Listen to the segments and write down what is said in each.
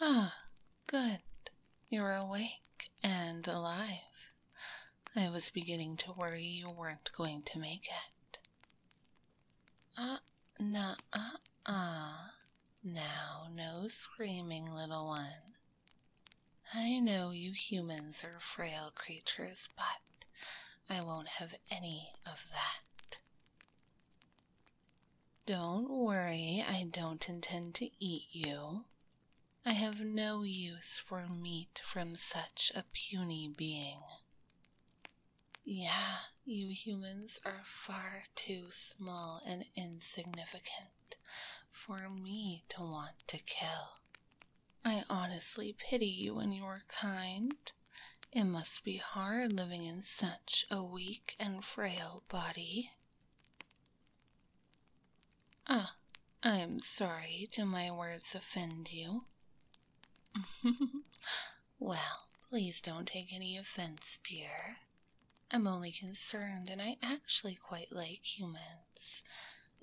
Ah, good. You're awake and alive. I was beginning to worry you weren't going to make it. Ah, uh, ah, ah. Now, no screaming, little one. I know you humans are frail creatures, but I won't have any of that. Don't worry, I don't intend to eat you. I have no use for meat from such a puny being. Yeah, you humans are far too small and insignificant for me to want to kill. I honestly pity you and your kind. It must be hard living in such a weak and frail body. Ah, I am sorry to my words offend you. well, please don't take any offense, dear. I'm only concerned, and I actually quite like humans,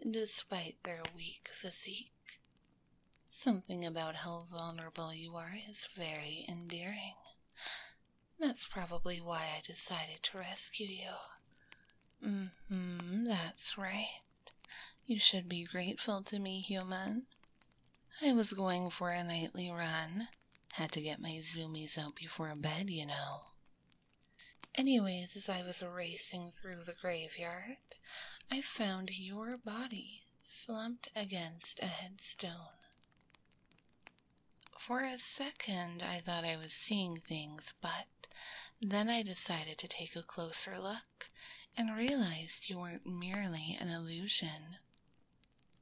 despite their weak physique. Something about how vulnerable you are is very endearing. That's probably why I decided to rescue you. Mm hmm, that's right. You should be grateful to me, human. I was going for a nightly run. Had to get my zoomies out before bed, you know. Anyways, as I was racing through the graveyard, I found your body slumped against a headstone. For a second, I thought I was seeing things, but then I decided to take a closer look and realized you weren't merely an illusion.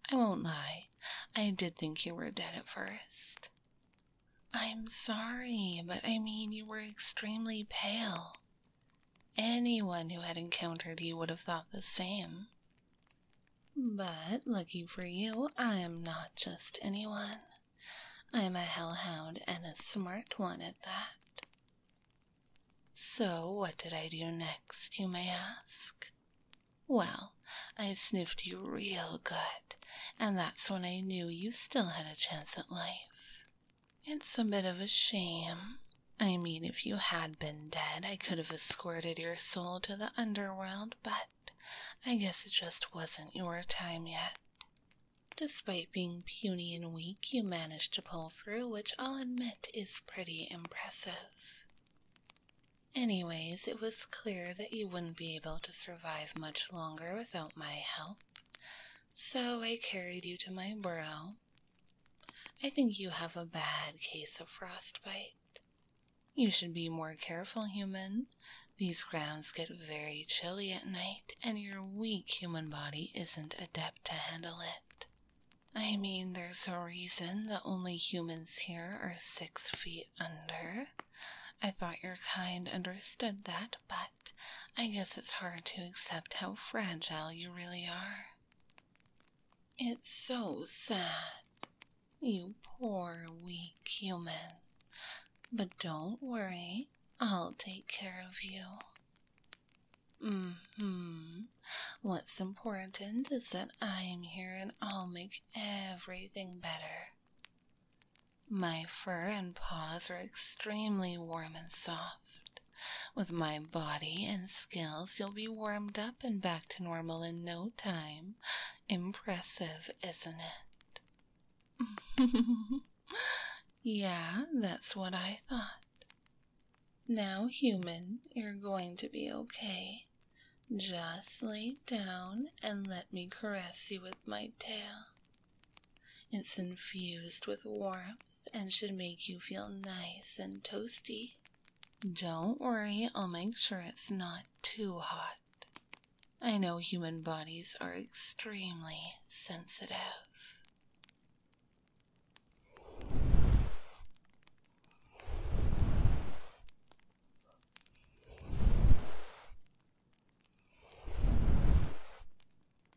I won't lie, I did think you were dead at first. I'm sorry, but I mean, you were extremely pale. Anyone who had encountered you would have thought the same. But lucky for you, I am not just anyone. I am a hellhound and a smart one at that. So, what did I do next, you may ask? Well, I sniffed you real good, and that's when I knew you still had a chance at life. It's a bit of a shame. I mean, if you had been dead, I could have escorted your soul to the underworld, but I guess it just wasn't your time yet. Despite being puny and weak, you managed to pull through, which I'll admit is pretty impressive. Anyways, it was clear that you wouldn't be able to survive much longer without my help, so I carried you to my burrow I think you have a bad case of frostbite. You should be more careful, human. These grounds get very chilly at night, and your weak human body isn't adept to handle it. I mean, there's a reason that only humans here are six feet under. I thought your kind understood that, but I guess it's hard to accept how fragile you really are. It's so sad. You poor, weak human. But don't worry, I'll take care of you. Mm hmm. What's important is that I'm here and I'll make everything better. My fur and paws are extremely warm and soft. With my body and skills, you'll be warmed up and back to normal in no time. Impressive, isn't it? yeah, that's what I thought. Now, human, you're going to be okay. Just lay down and let me caress you with my tail. It's infused with warmth and should make you feel nice and toasty. Don't worry, I'll make sure it's not too hot. I know human bodies are extremely sensitive.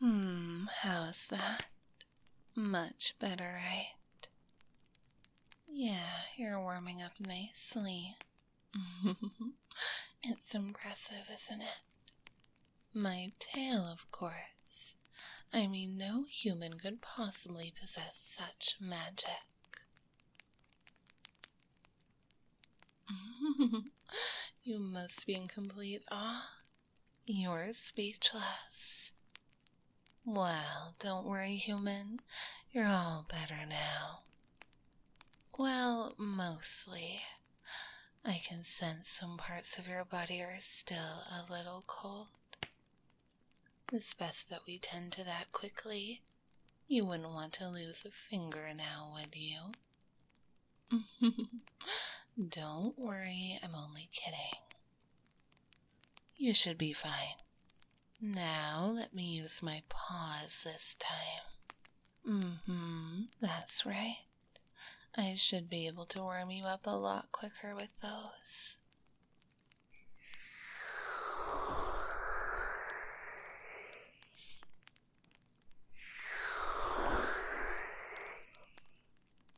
Hmm, how's that? Much better, right? Yeah, you're warming up nicely. it's impressive, isn't it? My tail, of course. I mean, no human could possibly possess such magic. you must be in complete awe. You're speechless. Well, don't worry, human. You're all better now. Well, mostly. I can sense some parts of your body are still a little cold. It's best that we tend to that quickly. You wouldn't want to lose a finger now, would you? Don't worry, I'm only kidding. You should be fine. Now let me use my paws this time. Mm hmm, that's right. I should be able to warm you up a lot quicker with those.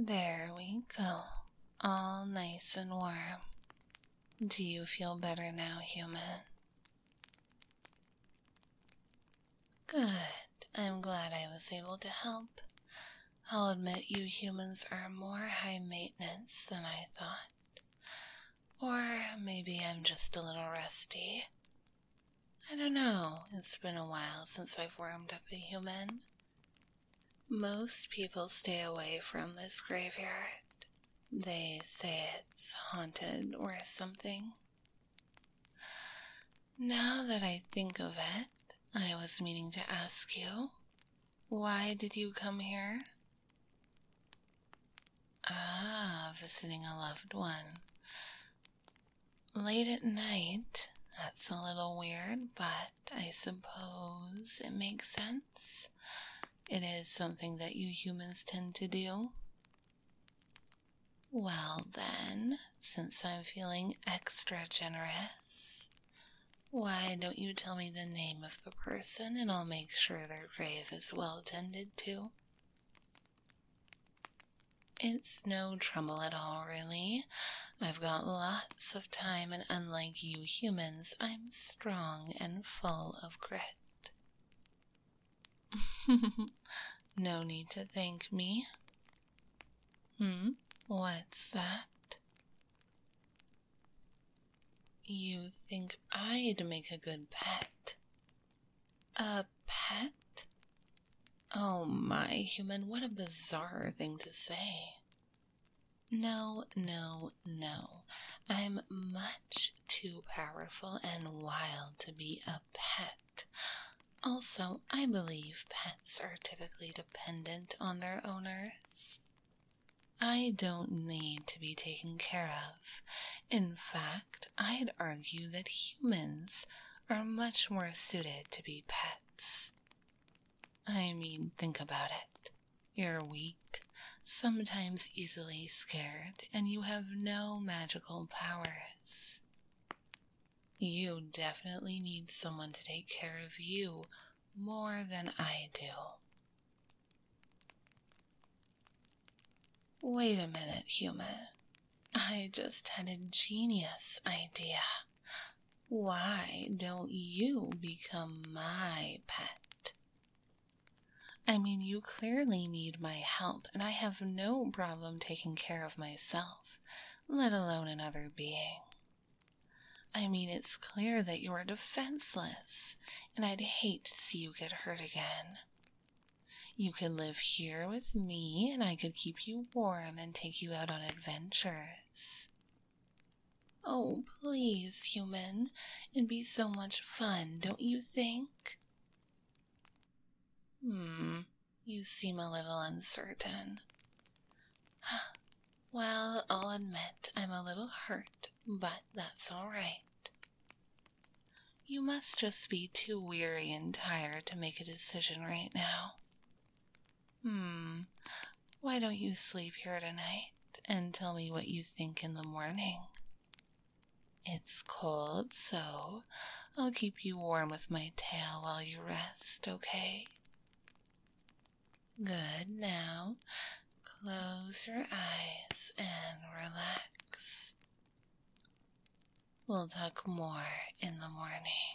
There we go, all nice and warm. Do you feel better now, human? Good. I'm glad I was able to help. I'll admit you humans are more high maintenance than I thought. Or maybe I'm just a little rusty. I don't know. It's been a while since I've warmed up a human. Most people stay away from this graveyard. They say it's haunted or something. Now that I think of it, I was meaning to ask you why did you come here? Ah, visiting a loved one. Late at night, that's a little weird, but I suppose it makes sense. It is something that you humans tend to do. Well, then, since I'm feeling extra generous, why don't you tell me the name of the person and I'll make sure their grave is well tended to? It's no trouble at all, really. I've got lots of time, and unlike you humans, I'm strong and full of grit. no need to thank me. Hmm, what's that? You think I'd make a good pet? A pet? Oh my, human, what a bizarre thing to say. No, no, no. I'm much too powerful and wild to be a pet. Also, I believe pets are typically dependent on their owners. I don't need to be taken care of. In fact, I'd argue that humans are much more suited to be pets. I mean, think about it. You're weak, sometimes easily scared, and you have no magical powers. You definitely need someone to take care of you more than I do. Wait a minute, human. I just had a genius idea. Why don't you become my pet? I mean, you clearly need my help, and I have no problem taking care of myself, let alone another being. I mean, it's clear that you are defenseless, and I'd hate to see you get hurt again. You could live here with me, and I could keep you warm and take you out on adventures. Oh, please, human. It'd be so much fun, don't you think? Hmm, you seem a little uncertain. Well, I'll admit I'm a little hurt, but that's all right. You must just be too weary and tired to make a decision right now. Hmm, why don't you sleep here tonight and tell me what you think in the morning? It's cold, so I'll keep you warm with my tail while you rest, okay? Good. Now close your eyes and relax. We'll talk more in the morning.